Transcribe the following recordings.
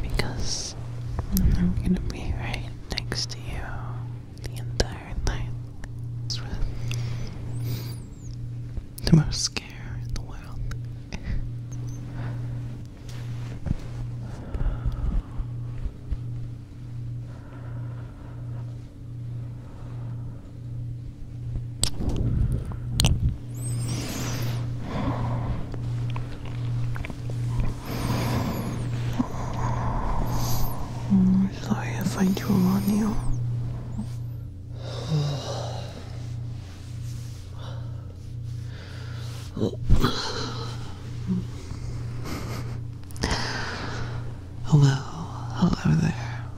Because I'm gonna be right next to you the entire night. It's the most scare in the world. I'm sorry if I drew on you. Hello, hello there.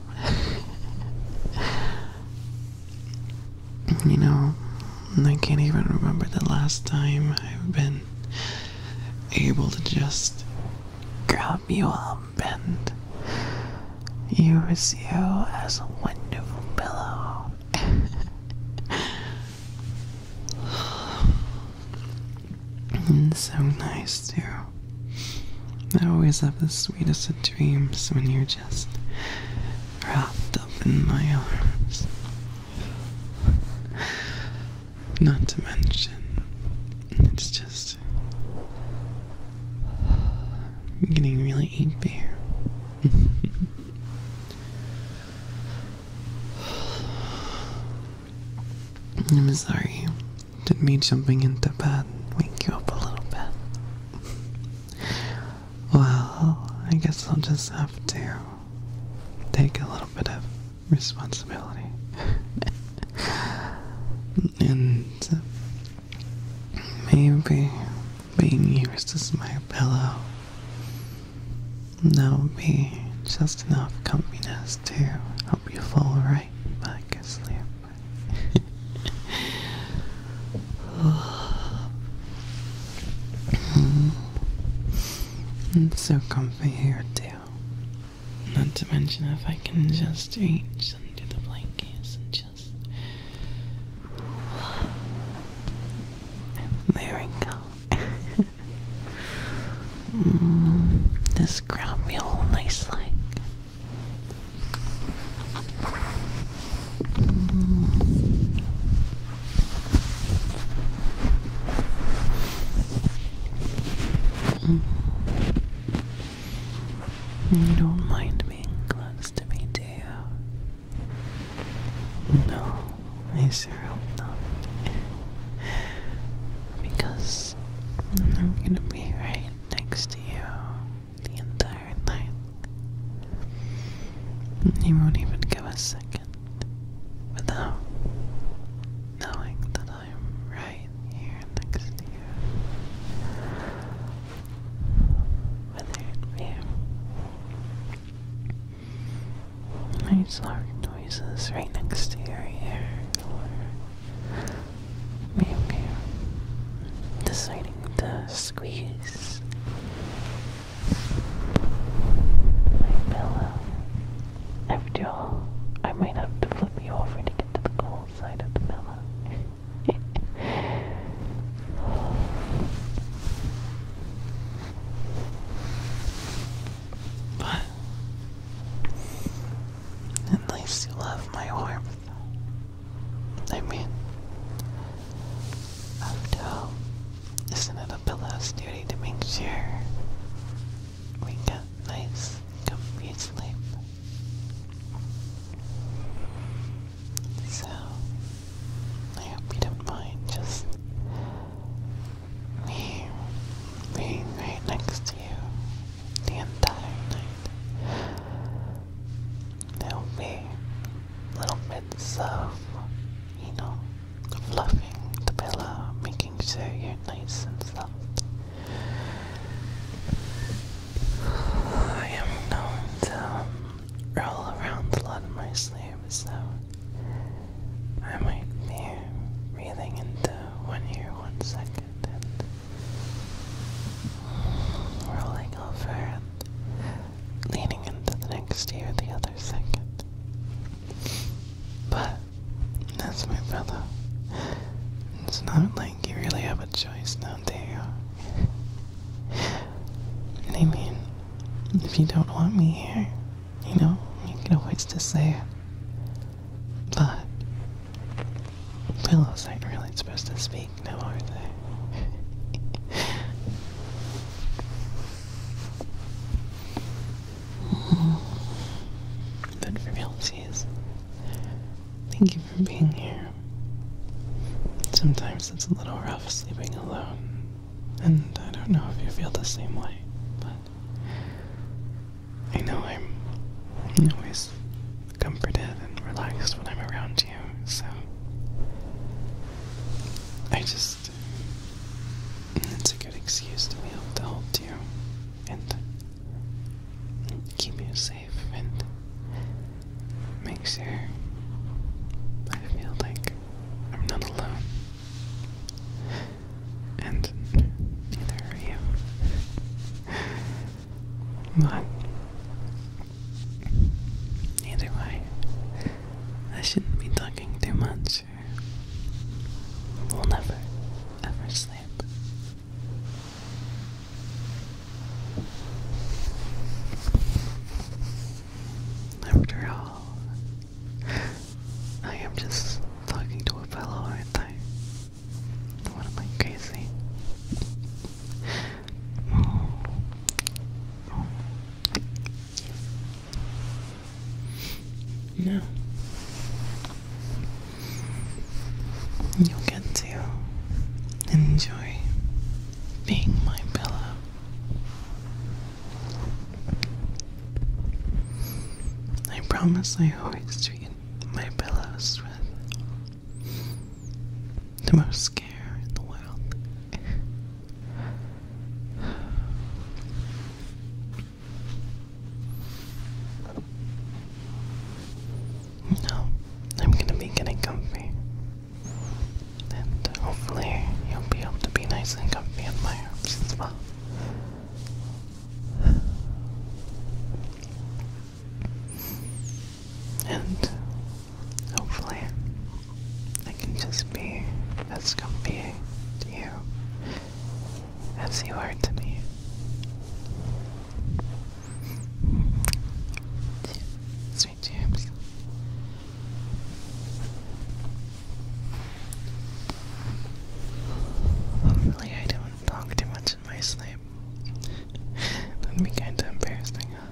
You know, I can't even remember the last time I've been able to just grab you up and use you as a wonderful pillow. it's so nice too. I always have the sweetest dreams when you're just wrapped up in my arms. Not to mention, it's just getting really ampy here. I'm sorry. Did not mean jumping into bed wake you up a little bit? Well, I guess I'll just have to take a little bit of responsibility. and uh, maybe being used as my pillow, that will be just enough comfortness to help you fall right back asleep. It's so comfy here too. Not to mention if I can just reach under the blankets and just there we go. this ground me nice like. Mm-hmm. You don't mind being close to me, do you? No, I sure hope not. Because I'm gonna be right next to you the entire night. He won't even give a second without knowing that I'm right here next to you. Whether it be nice noises right next to your ear, or maybe deciding to squeeze my pillow. After all, I might have to flip you over to get to the cold side of the pillow. but at least you love my warmth. I mean, um, of Isn't it a pillow's duty to make sure we get nice, comfy sleep? So, I hope you don't mind just me being right next to you the entire night there'll be little bits of, you know, fluffing the pillow, making sure you're nice and soft. I am known to um, roll around a lot in my sleep, so I might be breathing into one ear one second and rolling over leaning into the next year the other second. But that's my brother. It's not like you really have a choice now, do you? and I mean, if you don't want me here, you know, you can always just say it. But pillows aren't really supposed to speak big aren't they? but for thank you for being here. Sometimes it's a little rough sleeping alone, and I don't know if you feel the same way, but I know I'm always comforted and relaxed when I'm around you so I just it's a good excuse to be able to help you and keep you safe and make sure I feel like I'm not alone. And neither are you. But Either way, I shouldn't be talking too much. We'll never, ever sleep. After all, I am just talking to a fellow, aren't I? am I crazy? No. You'll get to enjoy being my pillow. I promise I always treat my pillows with the most care in the world. No, I'm gonna be getting comfy. And hopefully, you'll be able to be nice and comfy in my arms And Hopefully, I can just be as comfy to you as you are to me. Sweet dreams. Hopefully, I don't talk too much in my sleep. That'd be kinda embarrassing, huh?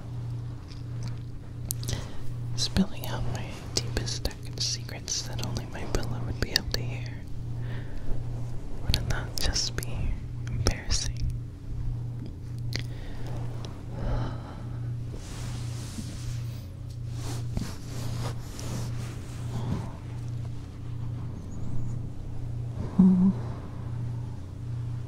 Spilling out my deepest, darkest secrets that only my pillow would be able to hear. Would it not just be embarrassing?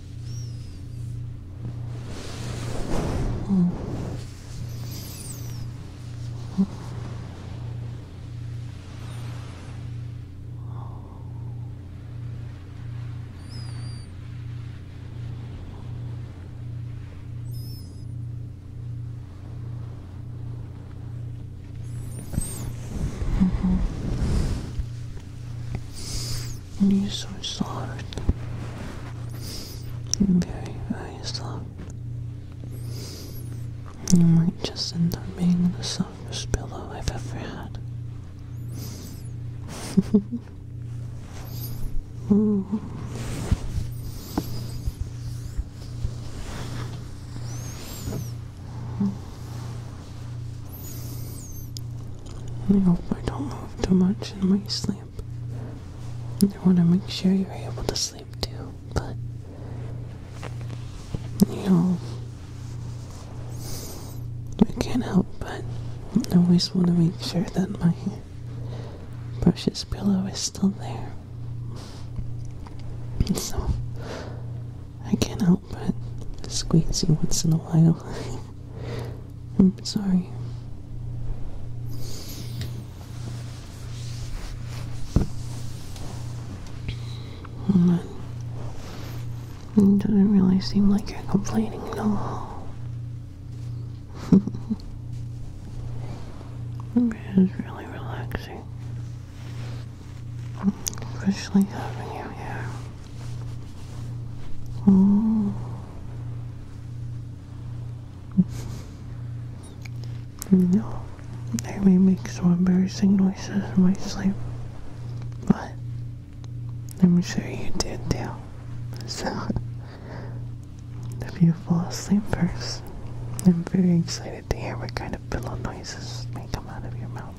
嗯，嗯，嗯，嗯哼。You're so soft. You're very, very soft. You might just end up being the softest pillow I've ever had. I hope I don't move too much in my sleep. I want to make sure you're able to sleep too, but you know, I can't help but I always want to make sure that my precious pillow is still there. so I can't help but squeeze you once in a while. I'm sorry. But it doesn't really seem like you're complaining no. it is really relaxing, especially having you here. Oh. You know, I may make some embarrassing noises in my sleep, but I'm sure you did too. So, if you fall asleep first, I'm very excited to hear what kind of pillow noises may come out of your mouth.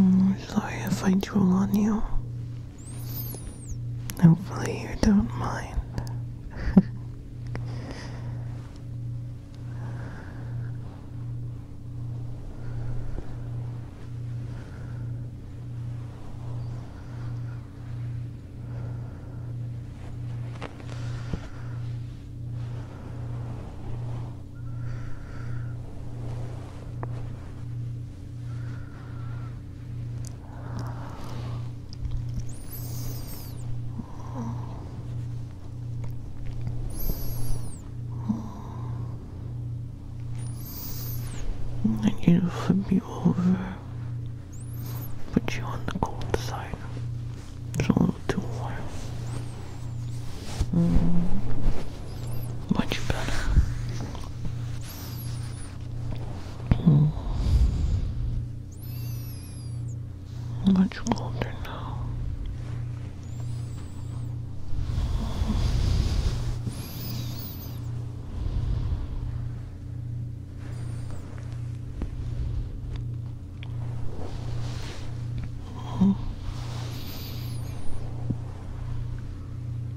I'm hmm, sorry if I drool on you. Hopefully, you don't mind. I need to flip you over, put you on the cold side. It's a little too warm. Mm. Much better. Hmm. Much older now. Hmm.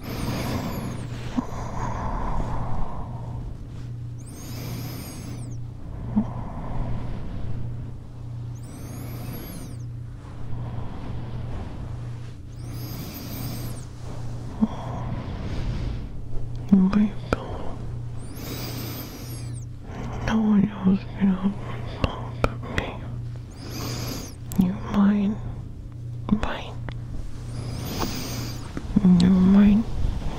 I No one knows you was going me. You're mine. Mine. You're mine.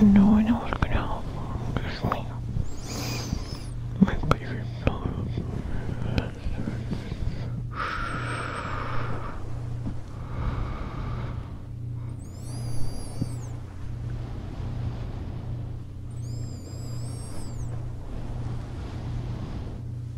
No one else can help. me. My favorite dog.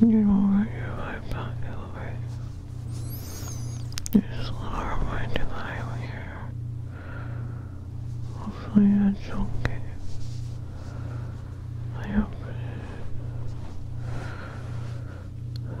You won't your life back elevator. You are just lower my to the highway here. Hopefully that's okay. I hope it is. I hope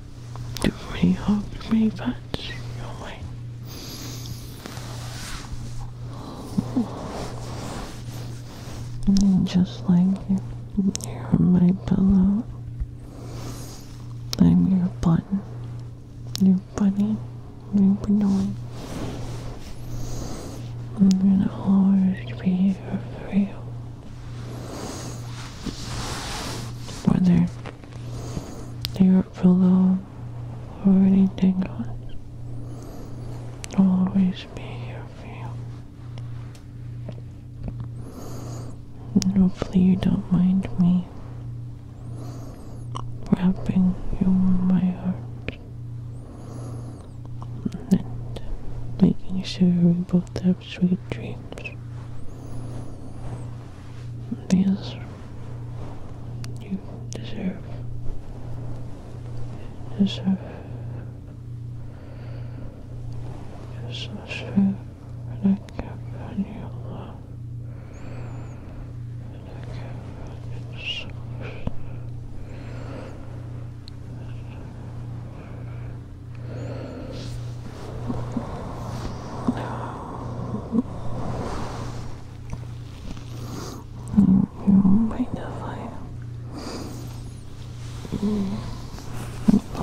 Do many hug, too many pets. Your just like you, you're my pillow. I'm your button. Your bunny. Your binoy. I'm gonna always be here for you. Whether your pillow or anything else. I'll always be here for you. And hopefully you don't mind me wrapping you in my heart. And making sure we both have sweet dreams. Because you deserve. You deserve. you I can you love. And I can you so sure. Right now,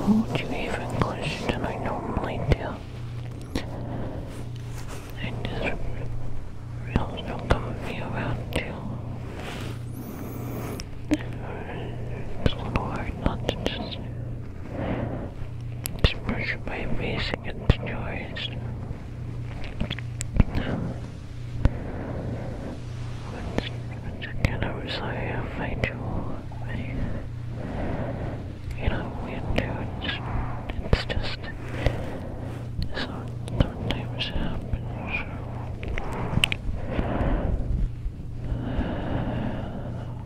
would you even question I normally do? I just feel so comfy around you. It's a little hard not to just Smash my by against yours. Once, once again, I'm sorry I do. You know, we do. It's, just so sometimes happens.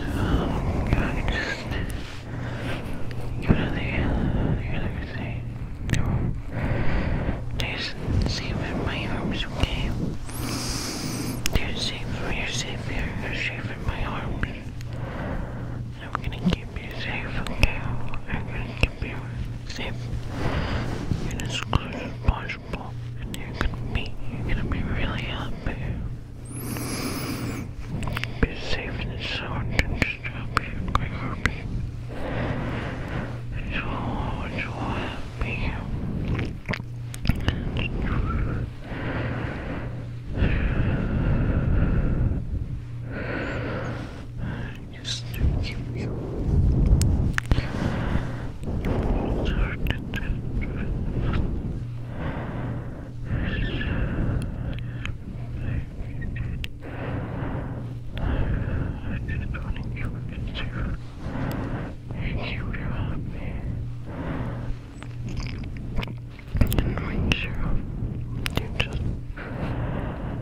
Um, I can just go to the other side to just see if my arm's okay. You're safe, you're safe you're safe in my arms. I'm gonna keep you safe, okay? I'm gonna keep you safe and as close as possible, and you're gonna be, you're gonna be really happy. Be safe in the and just happy and quite happy. So, so happy. And used to give you. I just want to give it to you. Make you happy. And make sure you just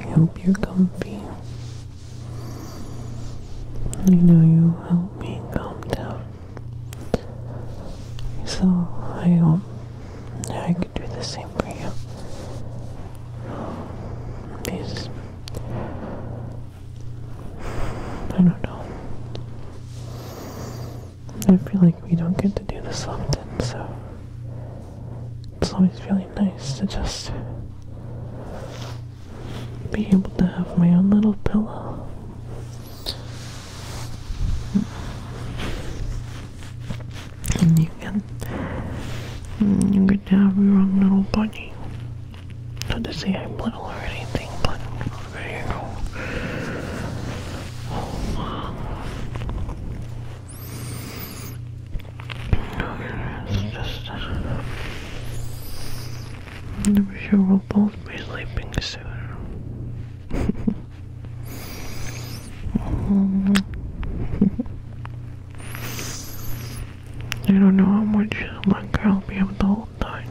I hope you're comfy. I know you help me calm down. So I hope I can do the same for you. These I don't know. I feel like we don't get to do this often, so it's always really nice to just be able to have my own little pillow. And you can you get have your own little bunny. Not to say I'm little or anything, but I'm sure we'll both be sleeping soon. I don't know how much longer i will be able to hold time.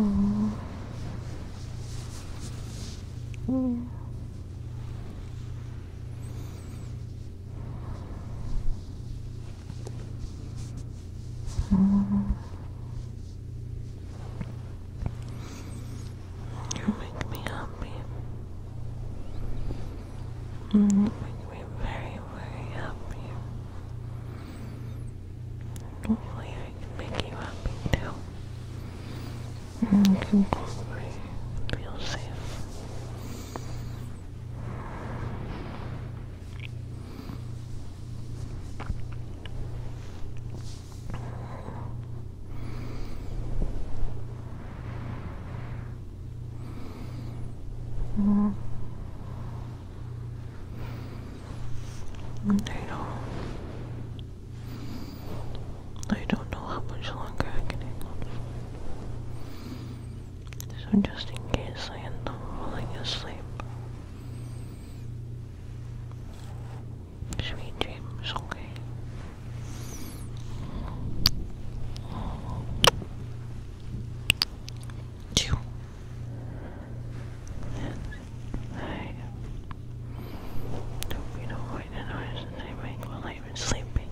Oh. Yeah. Oh. You make me happy. Mm-hmm. You make me very, very happy. Hopefully I can make you happy mm-hmm. too. And you feel safe. Mm they don't. They don't know how much longer I can So just in case I end up falling asleep. Sweet dreams, okay. Chew. I you don't mind the noise that make while I'm sleeping,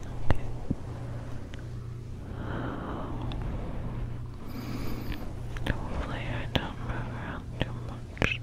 hopefully I don't move around too much.